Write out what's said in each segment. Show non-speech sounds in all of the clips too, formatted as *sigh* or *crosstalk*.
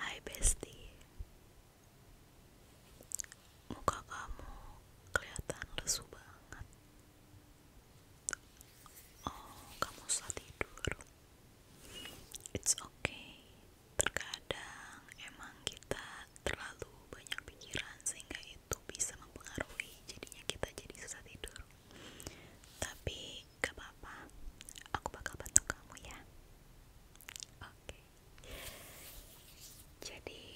Hai bestie, Muka kamu kelihatan lesu banget Oh, kamu salah tidur It's okay Terkadang emang kita terlalu banyak pikiran sehingga itu bisa mempengaruhi jadinya kita jadi susah tidur tapi gak apa-apa aku bakal bantu kamu ya oke jadi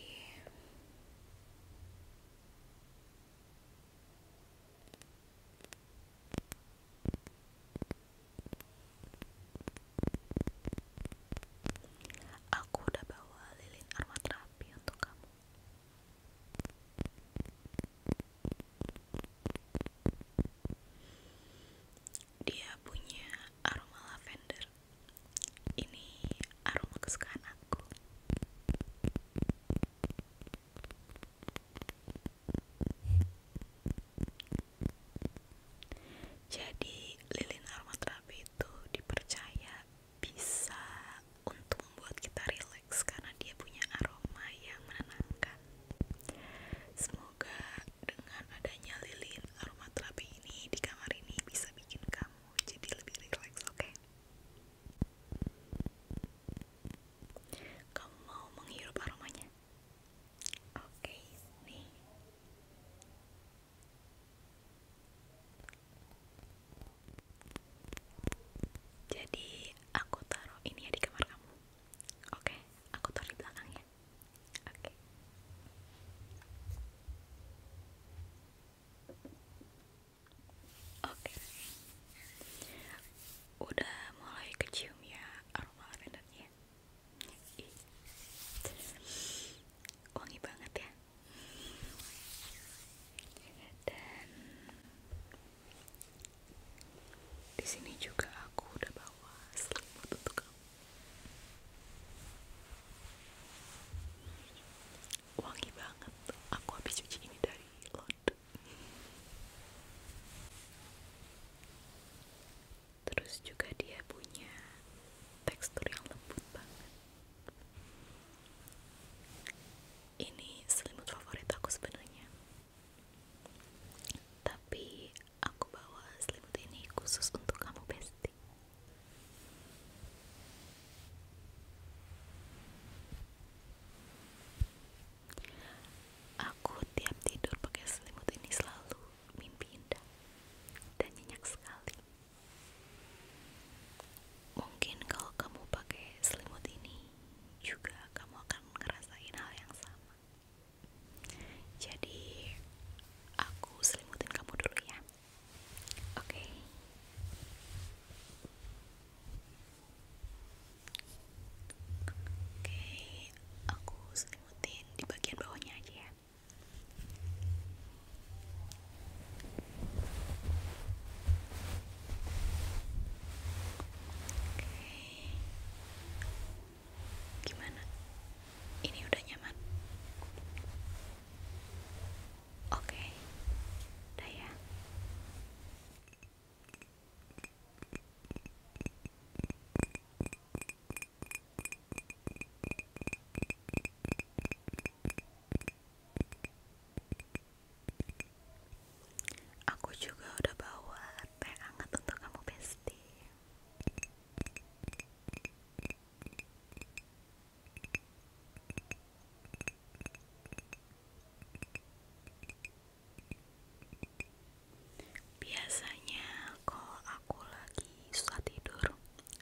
Aku udah bawa lilin aromaterapi untuk kamu. Dia punya aroma lavender. Ini aroma kesukaan aku. Jadi, lilin aroma terapi itu dipercaya bisa untuk membuat kita rileks karena dia punya aroma yang menenangkan. Semoga dengan adanya lilin aroma terapi ini di kamar ini bisa bikin kamu jadi lebih rileks, oke? Kamu mau menghirup aromanya? Oke, okay, nih. Jadi aku taruh ini ya di kamar kamu. Oke, okay, aku taruh di belakang ya. Oke. Okay. Oke. Okay. Udah mulai kecium ya aroma lavendernya. Wangi banget ya. Dan di sini juga aku udah bawa selimut untuk kamu. Wangi banget. Aku habis cuci ini dari lot Terus juga dia punya tekstur yang lembut banget. Ini selimut favorit aku sebenarnya. Tapi aku bawa selimut ini khusus untuk kamu, Besti. Aku tiap tidur pakai selimut ini selalu mimpi indah dan nyenyak sekali. Mungkin kalau kamu pakai selimut ini, juga kamu akan ngerasain hal yang sama. Jadi, aku selimutin kamu dulu ya. Oke. Oke, aku selimutin di bagian bawahnya aja ya. Gimana? Ini udah nyaman? Oke, udah ya. Aku juga udah bawa teh hangat untuk kamu Besti. Biasanya kalau aku lagi suka tidur,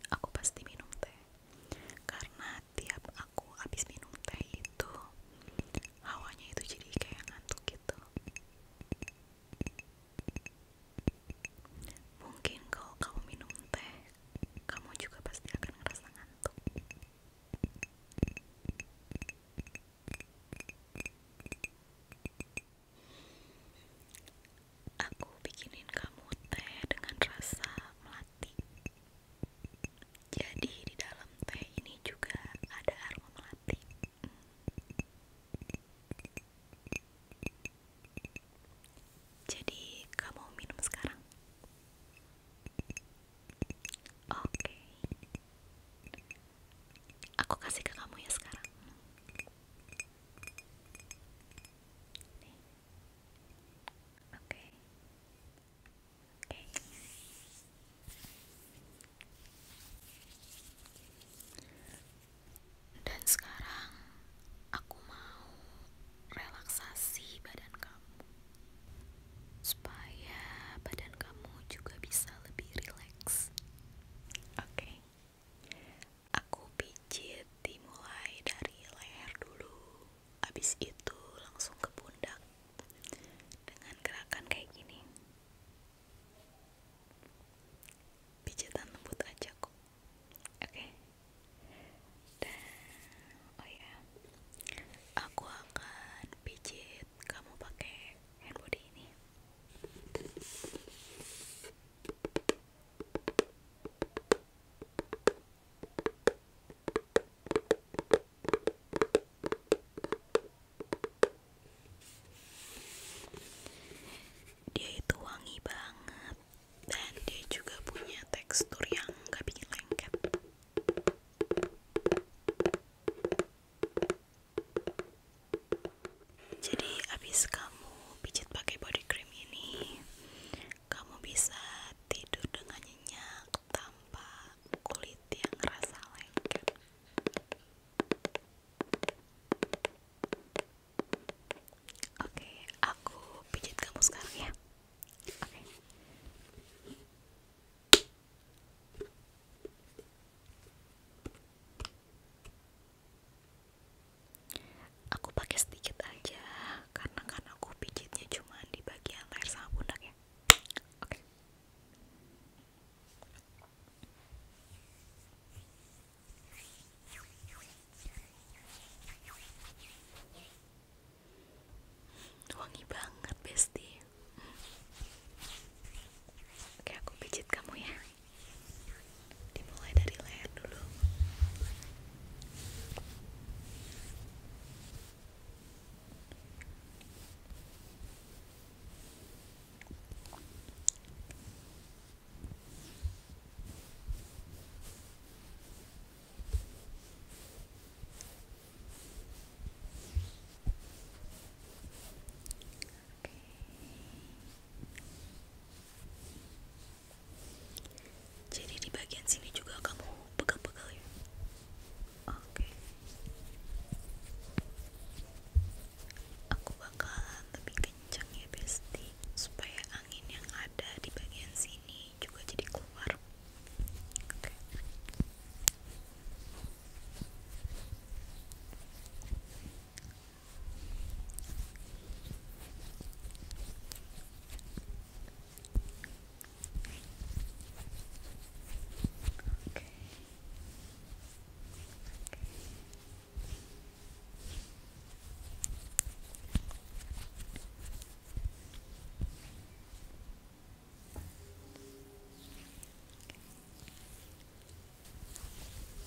aku pasti minum teh. Karena tiap aku habis minum teh itu hawanya itu jadi kayak ngantuk gitu mungkin kalau kamu minum teh kamu juga pasti akan ngerasa ngantuk aku bikinin kamu teh dengan rasa melati jadi di dalam teh ini juga ada aroma melati. Jadi kamu minum sekarang? Oke. Aku kasih ke kamu ya sekarang. Oke. Dan sekarang aku mau relaksasi badan kamu supaya badan kamu juga bisa lebih rileks. Oke. Aku pijit dimulai dari leher dulu. Habis itu langsung ke pundak. Dengan gerakan kayak gini pijatan lembut aja kok oke dan oh ya aku akan pijit kamu pakai hand body ini dia itu wangi banget dan dia juga punya tekstur yang gak bikin lengket. Jadi abis kamu pijit pakai body cream ini, kamu bisa tidur dengan nyenyak, tanpa kulit yang rasa lengket oke aku pijit kamu sekarang ya oke Aku pakai sedikit aja karena kan aku pijitnya cuma di bagian leher sama pundak ya. Oke wangi banget bestie oke aku pijit kamu ya dimulai dari leher dulu jadi di bagian sini juga kamu pegal-pegal ya. Oke. Aku bakalan lebih kencang ya, Besti, supaya angin yang ada di bagian sini juga jadi keluar.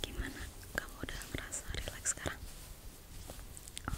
Gimana? Kamu udah merasa relax sekarang? Oh,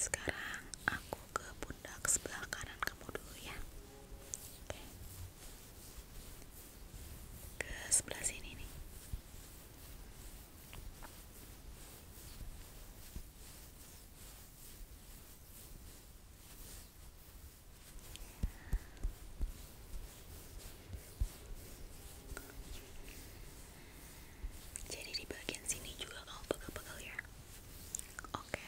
sekarang aku ke pundak sebelah kanan kamu dulu ya ke sebelah sini nih jadi di bagian sini juga kamu pegel-pegel ya. Oke. Oke.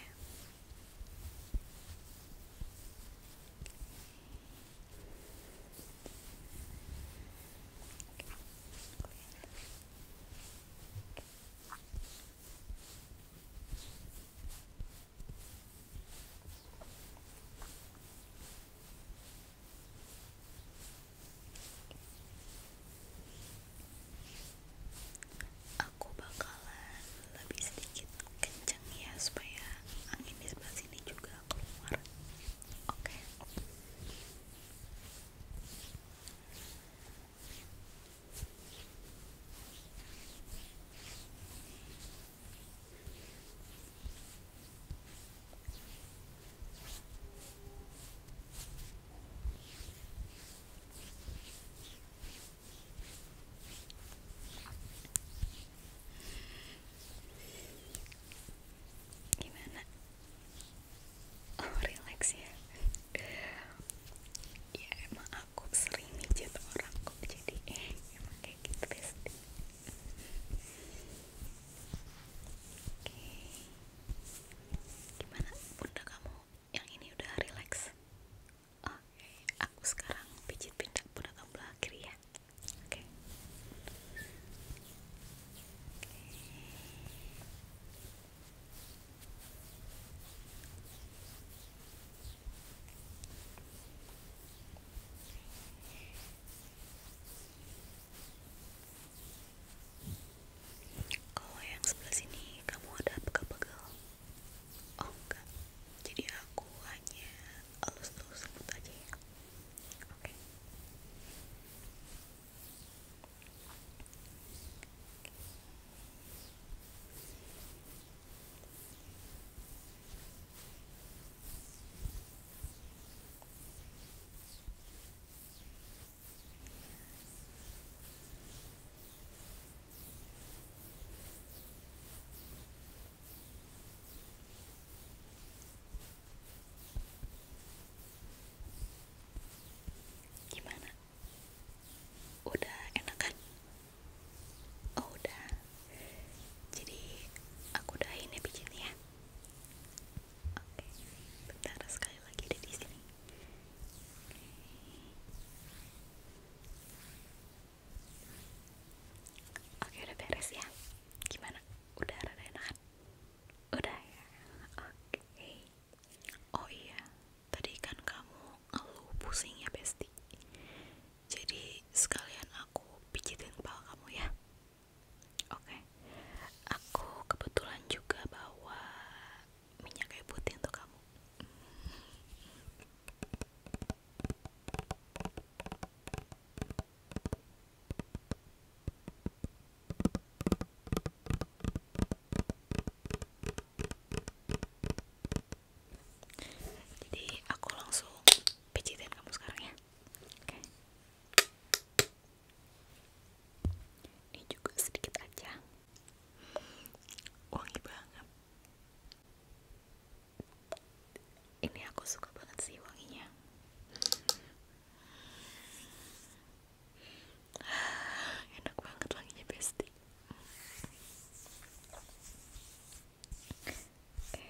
Aku bakalan lebih sedikit kenceng ya supaya angin di sebelah sini juga keluar. Oke, Gimana? Oh, relax ya. ya emang aku sering mijit orang kok jadi emang kayak gitu ya. Gimana bunda kamu yang ini udah relax? Oke, aku sekarang pijit pindah bunda kamu belah ya. Oke. Kalau yang sebelah sini kamu ada pegel-pegel? Oh enggak. Jadi aku hanya elus-elus sebut aja ya. Oke, Gimana? Udah enak kan? Oh udah. Jadi aku udahin ya bikinnya. Oke, bentar sekali lagi ada di sini. Oke, udah beres ya. Gimana? Udah rada enakan? Udah ya? Oke. Oh iya, tadi kan kamu ngeluh pusing ya, Besti. Jadi sekalian aku pijitin kepala kamu ya. Oke, aku kebetulan juga bawa minyak kayu putih untuk kamu. Jadi aku langsung pijitin kamu sekarang ya. Ini juga sedikit aja. Wangi banget. Ini aku suka banget sih wanginya. *sighs* Enak banget wanginya bestie. Oke,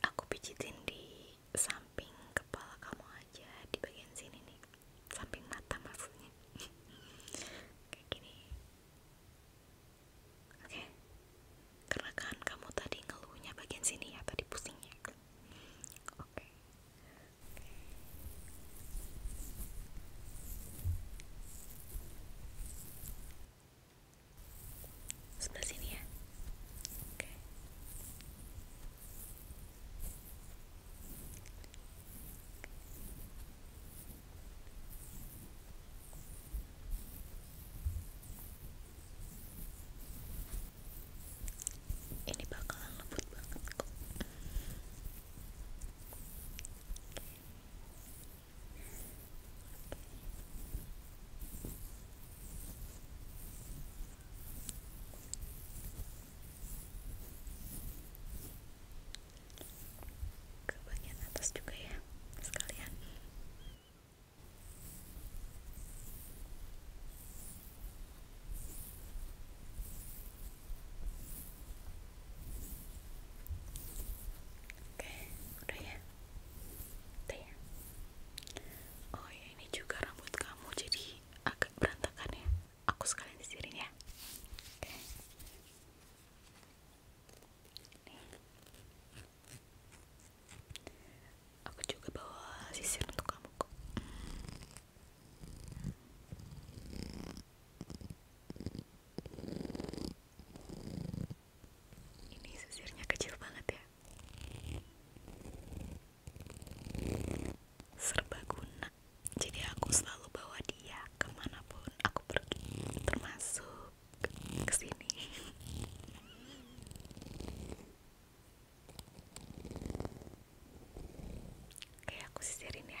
aku pijitin di samping kepala kamu aja di bagian sini nih samping mata maksudnya *laughs* kayak gini oke okay. karena kan kamu tadi ngeluhnya bagian sini ya tadi pusingnya oke sebelah sini ya oke ini bakalan lembut banget kok ke bagian atas juga ya sekalian oke udah ya oke ya? oh ya ini juga rambut kamu jadi ini agak ya. aku sekalian sisirin ya okay. aku juga bawa sisir untuk kamu kok ini sisirnya kecil banget ya serbaguna jadi aku selalu bawa dia kemanapun aku pergi termasuk ke sini *laughs* oke aku sisirin ya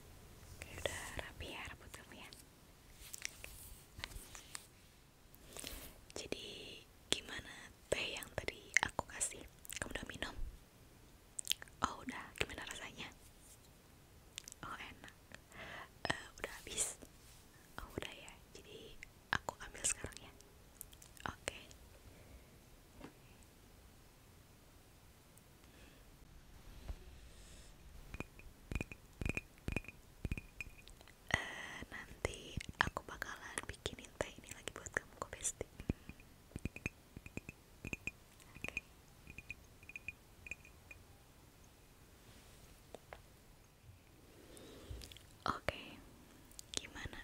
Oke, udah rapi ya rambut kamu ya. Jadi gimana teh yang tadi aku kasih? Kamu udah minum? Oh udah, gimana rasanya? Oh enak. Uh, udah habis? Oh udah ya. Jadi aku ambil sekarang ya. Oke. Uh, nanti aku bakalan bikinin teh ini lagi buat kamu kok bestie. Okay. Oke, gimana?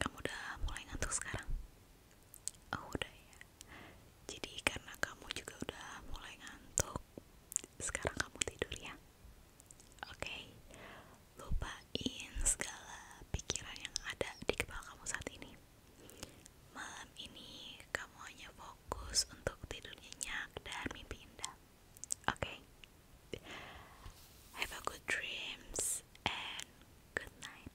Kamu udah mulai ngantuk sekarang? Oh udah ya. Jadi karena kamu juga udah mulai ngantuk, sekarang kamu tidur ya. Oke. Lupain segala pikiran yang ada di kepala kamu saat ini. Malam ini kamu hanya fokus untuk tidur nyenyak dan mimpi indah. Oke. Have a good dreams and good night.